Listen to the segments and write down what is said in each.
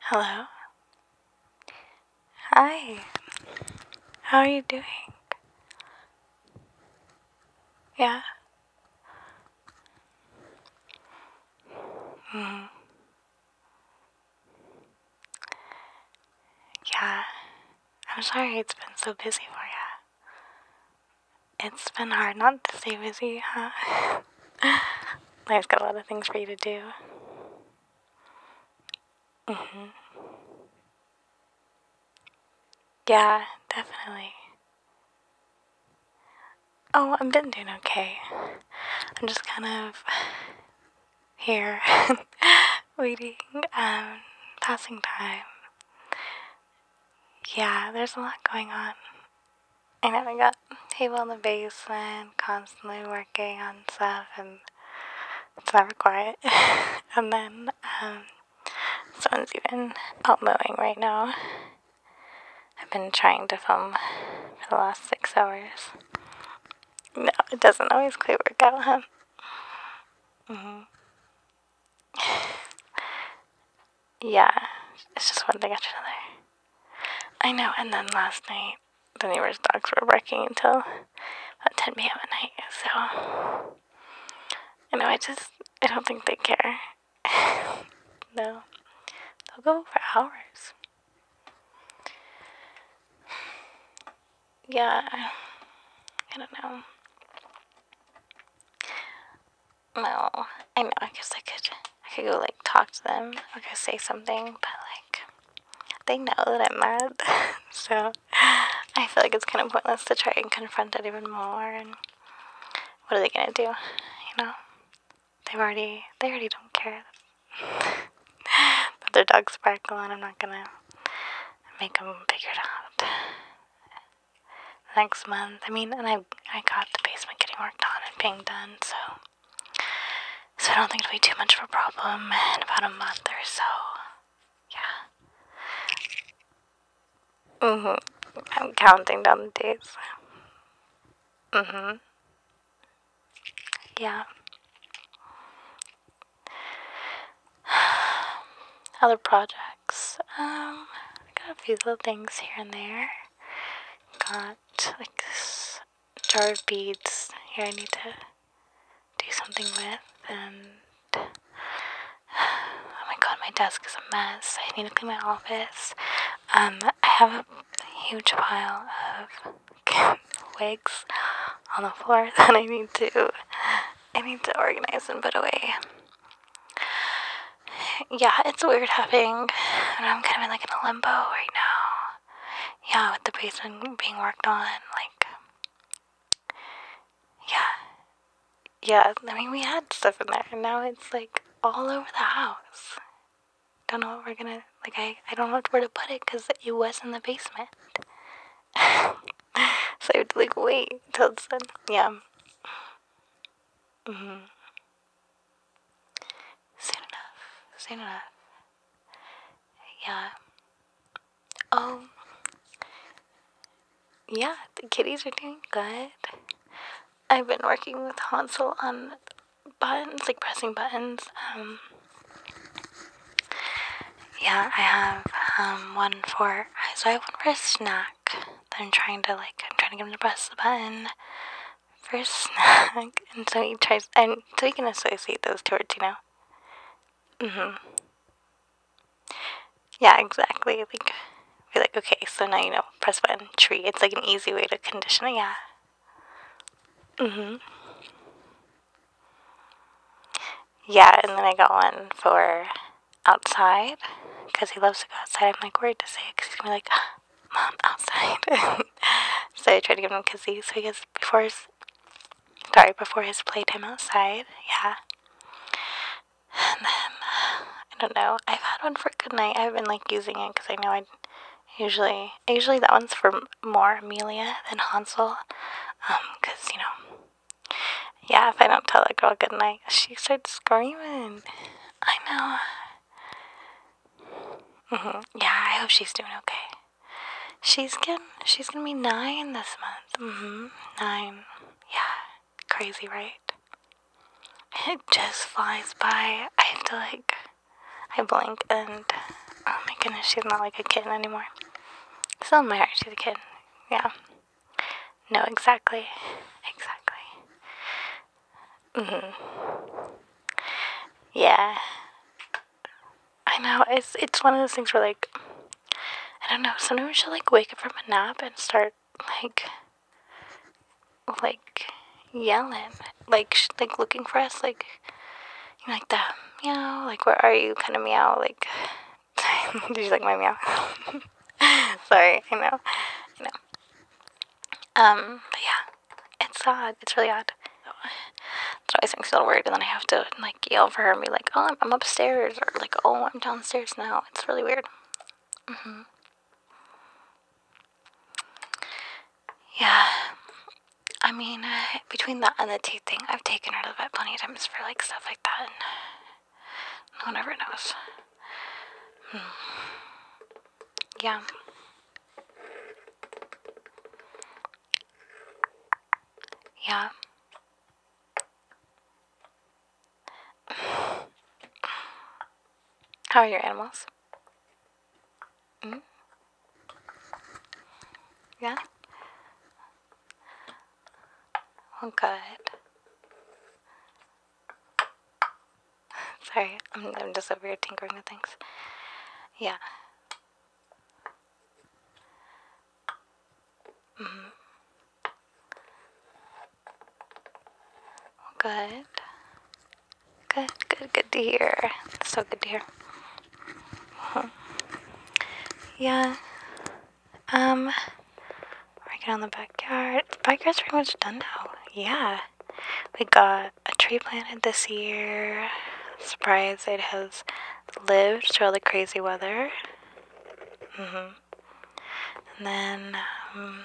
Hello? Hi. How are you doing? Yeah? Mm. Yeah. I'm sorry it's been so busy for you. It's been hard not to stay busy, huh? I've got a lot of things for you to do. hmm Yeah, definitely. Oh, i am been doing okay. I'm just kind of here, waiting, um, passing time. Yeah, there's a lot going on. I never not got table in the basement, constantly working on stuff, and it's never quiet. and then um, someone's even out mowing right now. I've been trying to film for the last six hours. No, it doesn't always quite work out, huh? Mm-hmm. yeah, it's just one thing after another. I know, and then last night, the neighbor's dogs were barking until about 10 p.m. at night, so. I know, I just, I don't think they care. no. They'll go for hours. Yeah, I don't know. No, I know. I guess I could. I could go like talk to them. I could say something, but like they know that I'm mad, so I feel like it's kind of pointless to try and confront it even more. And what are they gonna do? You know, they already. They already don't care that their dogs bark a lot. I'm not gonna make them figure it out next month. I mean, and I I got the basement getting worked on and being done, so so I don't think it'll be too much of a problem in about a month or so. Yeah. Mhm. I'm counting down the days. Mhm. yeah. Other projects. Um, I got a few little things here and there. Got like this jar of beads here I need to do something with and oh my god my desk is a mess I need to clean my office um I have a huge pile of wigs on the floor that I need to I need to organize and put away yeah, it's weird having. I'm kind of in like in a limbo right now. Yeah, with the basement being worked on, like. Yeah. Yeah, I mean, we had stuff in there, and now it's like all over the house. Don't know what we're gonna. Like, I, I don't know where to put it because it was in the basement. so I have to, like, wait till it's done. Yeah. Mm hmm. Soon enough. Soon enough. Yeah. Um. Yeah, the kitties are doing good. I've been working with Hansel on buttons, like pressing buttons. Um. Yeah, I have um one for so I have one for a snack that I'm trying to like I'm trying to get him to press the button for a snack, and so he tries, and so he can associate those words, you know. Mhm. Yeah, exactly. Like, we're like, okay, so now you know, press button, tree. It's like an easy way to condition it. Yeah. Mhm. Yeah, and then I got one for outside because he loves to go outside. I'm like worried to say because he's gonna be like mom outside. so I tried to give him a kissy so he gets before his sorry, before his playtime outside, yeah. And then I don't know. I've had one for good night. I've been like using it because I know I usually usually that one's for more Amelia than Hansel, um, because you know, yeah. If I don't tell that girl good night, she starts screaming. I know. Mm-hmm. Yeah, I hope she's doing okay. She's getting, she's gonna be nine this month. Mm-hmm. Nine. Yeah, crazy, right? It just flies by. I have to like, I blink and oh my goodness, she's not like a kitten anymore. Still in my heart, she's a kid. Yeah. No, exactly. Exactly. Mm-hmm. Yeah. I know. It's it's one of those things where like I don't know. Sometimes she like wake up from a nap and start like like yelling, like like looking for us, like like the meow, like where are you, kind of meow, like. Did you like my meow? Sorry, I know, I know. Um, but yeah, it's odd. It's really odd. That always makes me a little worried, and then I have to like yell for her and be like, "Oh, I'm, upstairs," or like, "Oh, I'm downstairs now." It's really weird. Mm-hmm. Yeah, I mean, uh, between that and the teeth thing, I've taken her to the plenty of times for like stuff like that, and no one ever knows. Hmm. Yeah. Yeah. How are your animals? Mm? Yeah? Well, good. Sorry, I'm, just over here tinkering with things. Yeah. -hmm. Good. Good, good, good to hear. So good to hear. Uh-huh. Yeah. Um, working on the backyard. The backyard's pretty much done now. Yeah. We got a tree planted this year. Surprised it has lived through all the crazy weather. hmm And then, um,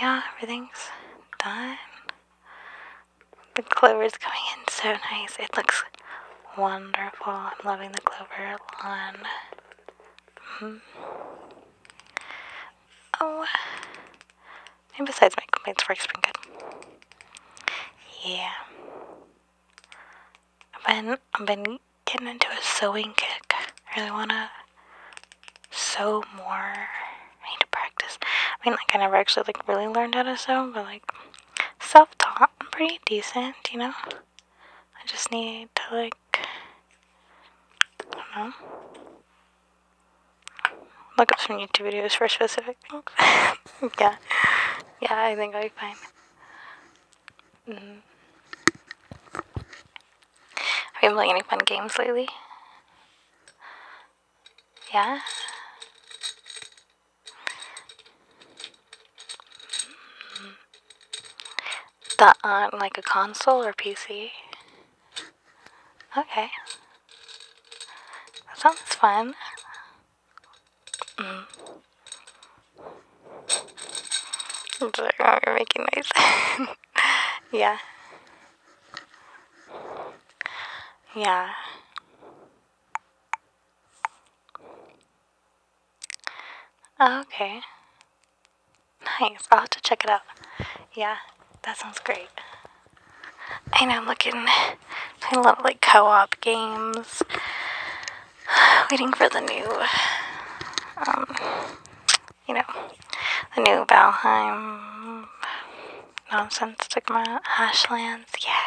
yeah, everything's done. The clover's coming in so nice. It looks wonderful. I'm loving the clover lawn. -hmm. Oh, and besides, my complaints work's been good. Yeah. I've been, I've been getting into a sewing kick. I really wanna sew more. I need to practice. I mean, like, I never actually, like, really learned how to sew, but, like, self-taught, pretty decent, you know? I just need to, like, I don't know. Look up some YouTube videos for specific things. yeah. Yeah, I think I'll be fine. Mm mm-hmm. Have you been playing any fun games lately? Yeah? That on uh, like a console or PC? Okay. That sounds fun. Mm. i you're making noise. yeah. Yeah. Okay. Nice. I'll have to check it out. Yeah, that sounds great. I know, I'm looking. I love like co op games. Waiting for the new, um, you know, the new Valheim nonsense stigma, Hashlands. Yeah,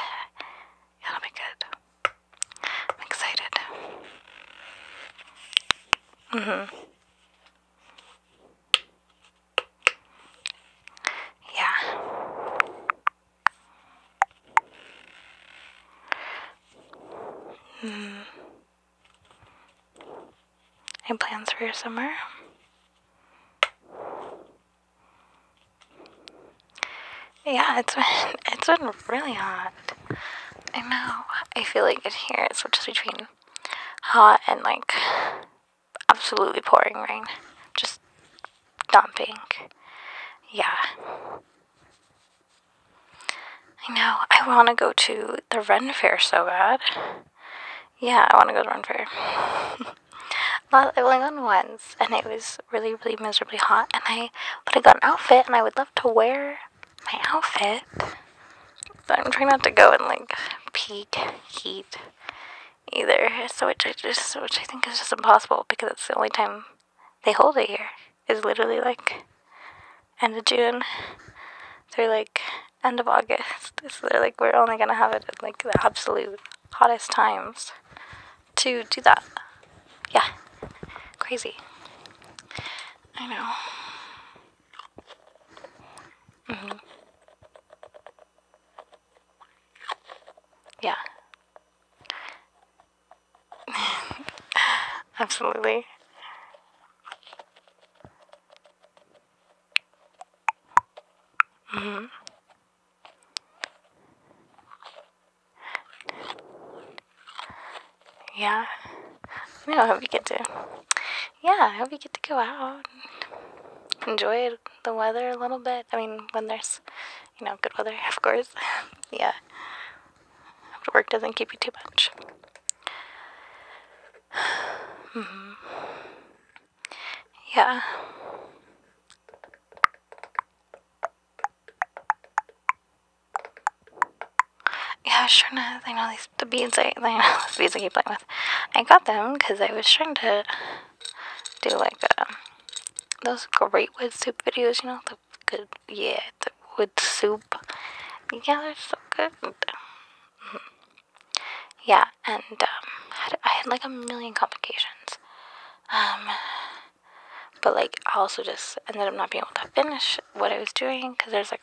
that'll be good. I'm excited. Mm hmm. Yeah. Hmm. Any plans for your summer? Yeah, it's been, it's been really hot. I know. I feel like it here it switches between hot and like absolutely pouring rain. Just dumping. Yeah. I know. I want to go to the run Fair so bad. Yeah, I want to go to run Fair. well, i went only once, and it was really, really miserably hot. And I, but I got an outfit, and I would love to wear my outfit. But I'm trying not to go in like peak heat either. So which I just which I think is just impossible because it's the only time they hold it here. Is literally like end of June through like end of August. So like we're only gonna have it at like the absolute hottest times to do that. Yeah. Crazy. I know. Mm-hmm. Yeah. Absolutely. Mm-hmm. Yeah you know, I hope you get to, yeah, I hope you get to go out, enjoy the weather a little bit. I mean, when there's, you know, good weather, of course. yeah. After work doesn't keep you too much. mm-hmm. Yeah. Yeah, sure enough, trying I know these the beads. I, I beads I keep playing with. I got them because I was trying to do like um, those great wood soup videos. You know the good yeah the wood soup. Yeah, they're so good. Mm-hmm. Yeah, and um, I had like a million complications. Um, but like I also just ended up not being able to finish what I was doing because there's like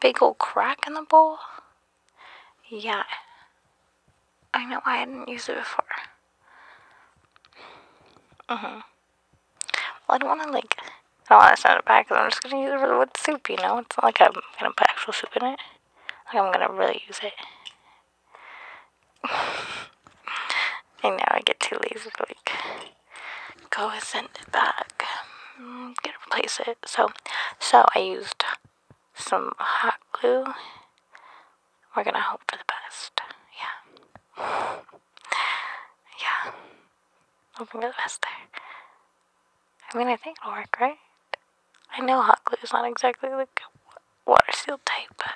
big old crack in the bowl? Yeah. I know why I did not use it before. Mm-hmm. Well, I don't want to, like, I don't want to send it back because I'm just going to use it for the wood soup, you know? It's not like I'm going to put actual soup in it. I'm going to really use it. And now I get too lazy like, go send it back, um, Gonna replace it. So, so I used some hot glue. We're gonna hope for the best. Yeah, yeah. Hoping for the best there. I mean, I think it'll work, right? I know hot glue is not exactly like water seal tape, but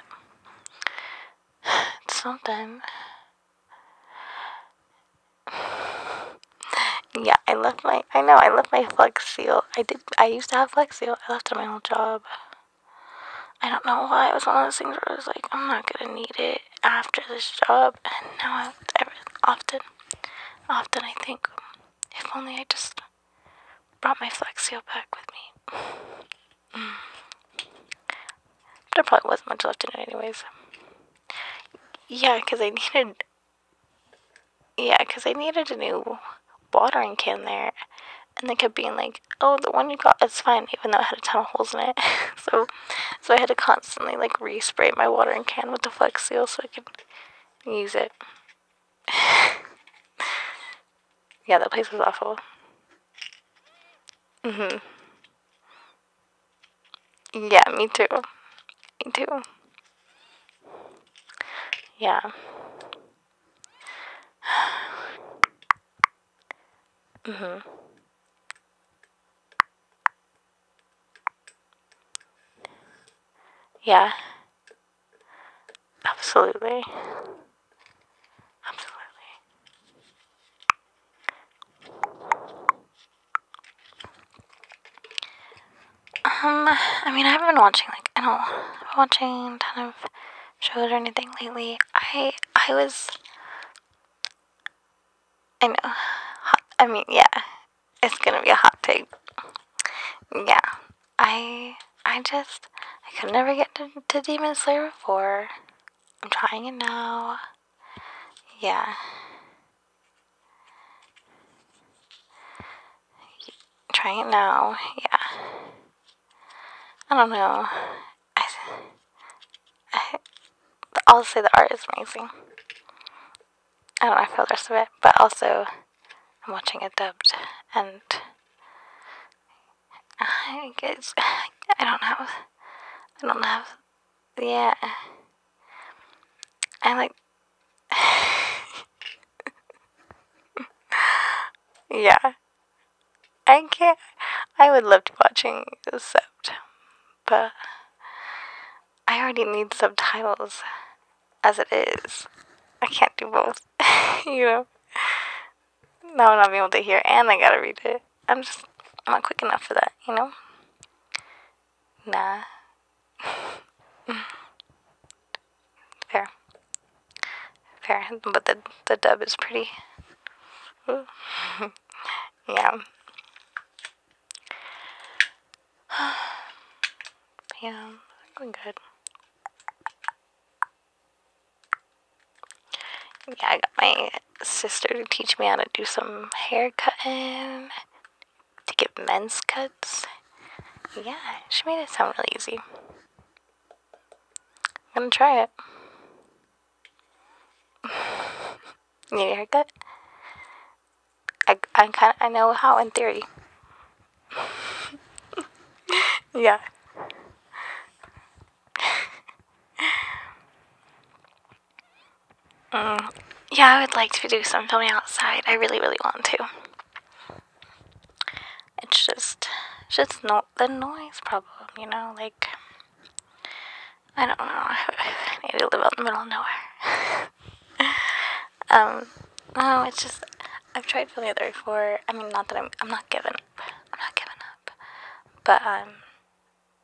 it's something. yeah, I left my, I know, I left my flex seal. I did, I used to have flex seal. I left it at my old job. I don't know why. It was one of those things where I was like, I'm not gonna need it after this job. And now I every, often, often I think, if only I just brought my flex seal back with me. Mm. There probably wasn't much left in it anyways. Yeah, because I needed yeah, because I needed a new watering can there. And they kept being like, oh, the one you got is fine, even though it had a ton of holes in it. so, so I had to constantly like respray my watering can with the Flex Seal so I could use it. yeah, that place was awful. Mhm. Yeah, me too. Me too. Yeah. mhm. Yeah. Absolutely. Absolutely. Um, I mean, I haven't been watching like I don't I'm watching a ton of shows or anything lately. I I was I know. I mean, yeah. It's going to be a hot take. Yeah. I I just I could never get to Demon Slayer before. I'm trying it now. Yeah. Try it now. Yeah. I don't know. I, I, will say the art is amazing. I don't know, I feel the rest of it, but also I'm watching it dubbed and I guess I don't know. I don't know yeah. I like. yeah. I can't. I would love to watching except, but I already need subtitles as it is. I can't do both, you know. Now I'm not being able to hear, and I gotta read it. I'm just. not quick enough for that, you know. Nah. Fair. Fair. But the, the dub is pretty. yeah. yeah, going good. Yeah, I got my sister to teach me how to do some hair cutting to get men's cuts. Yeah, she made it sound really easy. I'm gonna try it. Need a haircut? I, I kind I know how in theory. yeah. Mm, yeah, I would like to do some filming outside. I really, really want to. It's just, it's just not the noise problem, you know. Like, I don't know. I need to live out in the middle of nowhere. um, no, it's just I've tried filming there before. I mean, not that I'm, I'm not giving up. I'm not giving up. But um,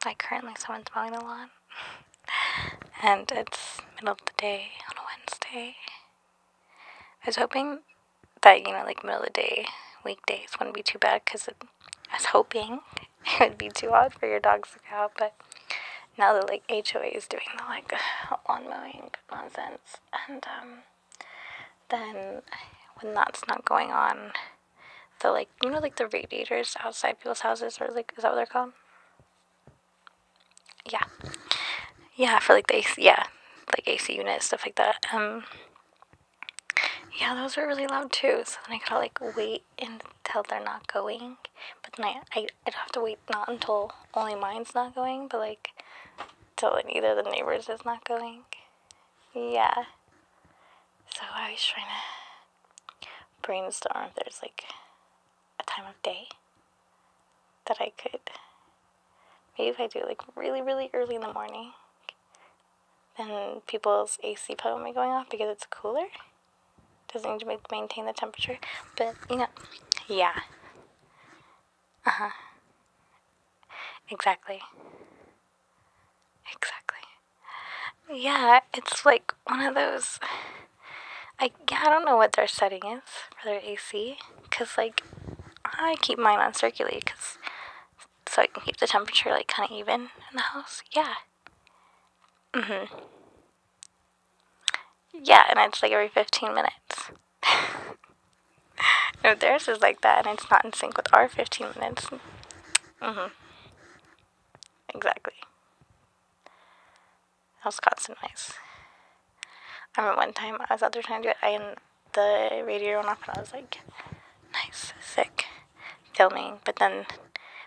like currently, someone's mowing the lawn and it's middle of the day on a Wednesday. I was hoping that, you know, like middle of the day, weekdays wouldn't be too bad because I was hoping it would be too odd for your dogs to go out, but now that like HOA is doing like lawn mowing nonsense, and um, then when that's not going on, the like you know like the radiators outside people's houses or like is that what they're called? yeah, yeah, for like they yeah, like AC units stuff like that. Um, yeah, those are really loud too. So then I gotta like wait until they're not going, but then I, I I'd have to wait not until only mine's not going, but like till either the neighbors is not going. Yeah. So I was trying to brainstorm there's like a time of day that I could. Maybe if I do like really, really early in the morning, then people's AC probably will be going off because it's cooler. Doesn't need maintain the temperature, but you know, yeah. Uh huh. Exactly. Exactly. Yeah, it's like one of those. I I don't know what their setting is for their AC, cause like I keep mine on circulate, cause so I can keep the temperature like kind of even in the house. Yeah. Mhm. Yeah, and it's like every fifteen minutes. no, theirs is like that, and it's not in sync with our fifteen minutes. Mhm. Exactly was caught noise. I remember one time I was out there trying to do it, and the radio went off, and I was like, "Nice, sick, filming." But then,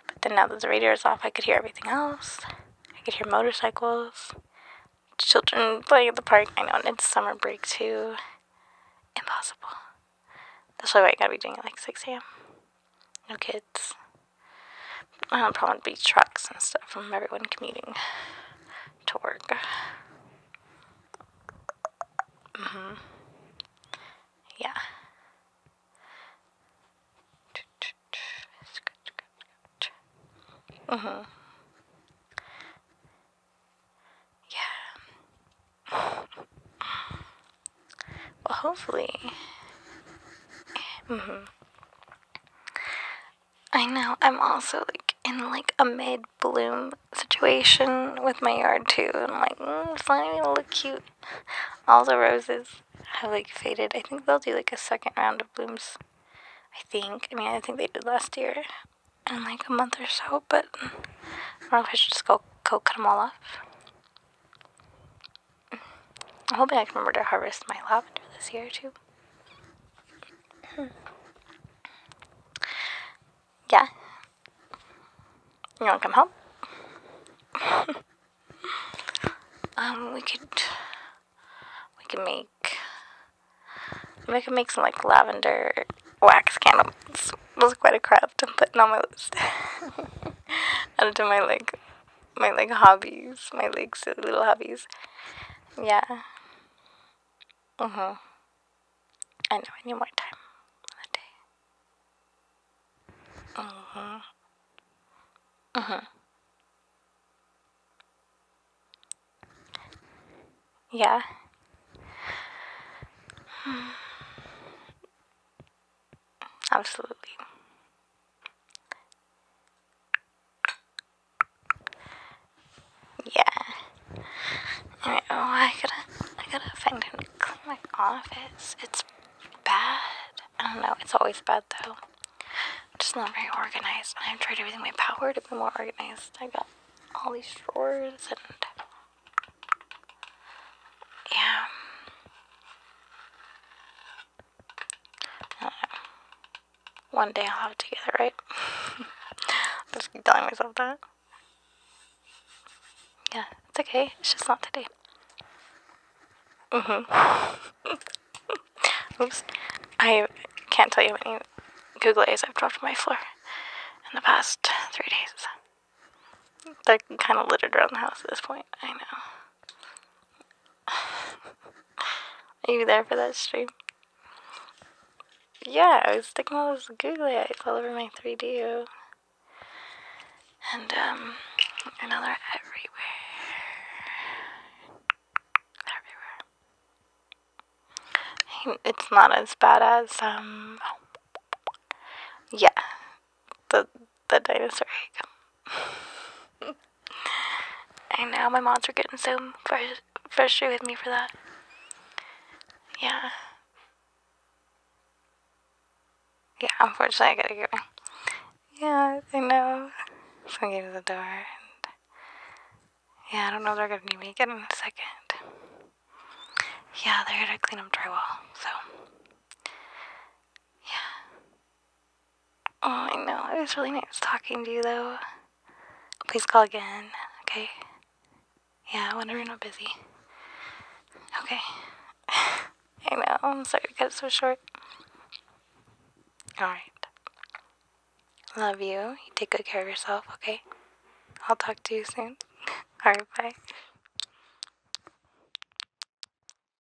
but then now that the radio is off, I could hear everything else. I could hear motorcycles, children playing at the park. I know, it's summer break too. Impossible. That's why I gotta be doing it like six a.m. No kids uh, probably trucks and stuff from everyone commuting to work. Mm-hmm. Yeah. Mm-hmm. Yeah. Well, hopefully. Mm-hmm. I know I'm also like in like a mid bloom situation with my yard too. And like, mm, it's not even looking cute. All the roses have like faded. I think they'll do like a second round of blooms. I think. I mean, I think they did last year in like a month or so, but I don't know if I should just go cut them all off. I'm hoping I can remember to harvest my lavender this year too. Hmm. yeah. You wanna come home? um, we could we could make we could make some like lavender wax candles. It was quite a craft I'm putting on my list. Added to my like my like hobbies, my like little hobbies. Yeah. Uh mm-hmm. huh. I know. I need more time Uh huh. Uh huh. Yeah. Absolutely. Yeah. oh, I gotta, I gotta find and clean my office. It's bad. I don't know, it's always bad though. I'm just not very organized. I've tried everything my power to be more organized. I got all these drawers and. Yeah. One day I'll have it together, right? I just keep telling myself that. Yeah, it's okay. It's just not today. Mm-hmm. Oops. I can't tell you how many googles I've dropped on my floor in the past three days. They're kind of littered around the house at this point. I know. Are you there for that stream? Yeah, I was sticking all those googly eyes all over my 3D. And, um, and now they're everywhere. Everywhere. It's not as bad as, um, oh. yeah, the the dinosaur egg. and now my moms are getting so frus frustrated with me for that. Yeah. Yeah, unfortunately, I gotta go. Yeah, I know. So I gave to the door. And yeah, I don't know if they're gonna need me again in a second. Yeah, they're gonna clean up drywall, so. Yeah. Oh, I know. It was really nice talking to you, though. Please call again, okay? Yeah, whenever you're not busy. Okay. I know. I'm sorry to cut so short. Alright. Love you. You take good care of yourself, okay? I'll talk to you soon. Alright, bye.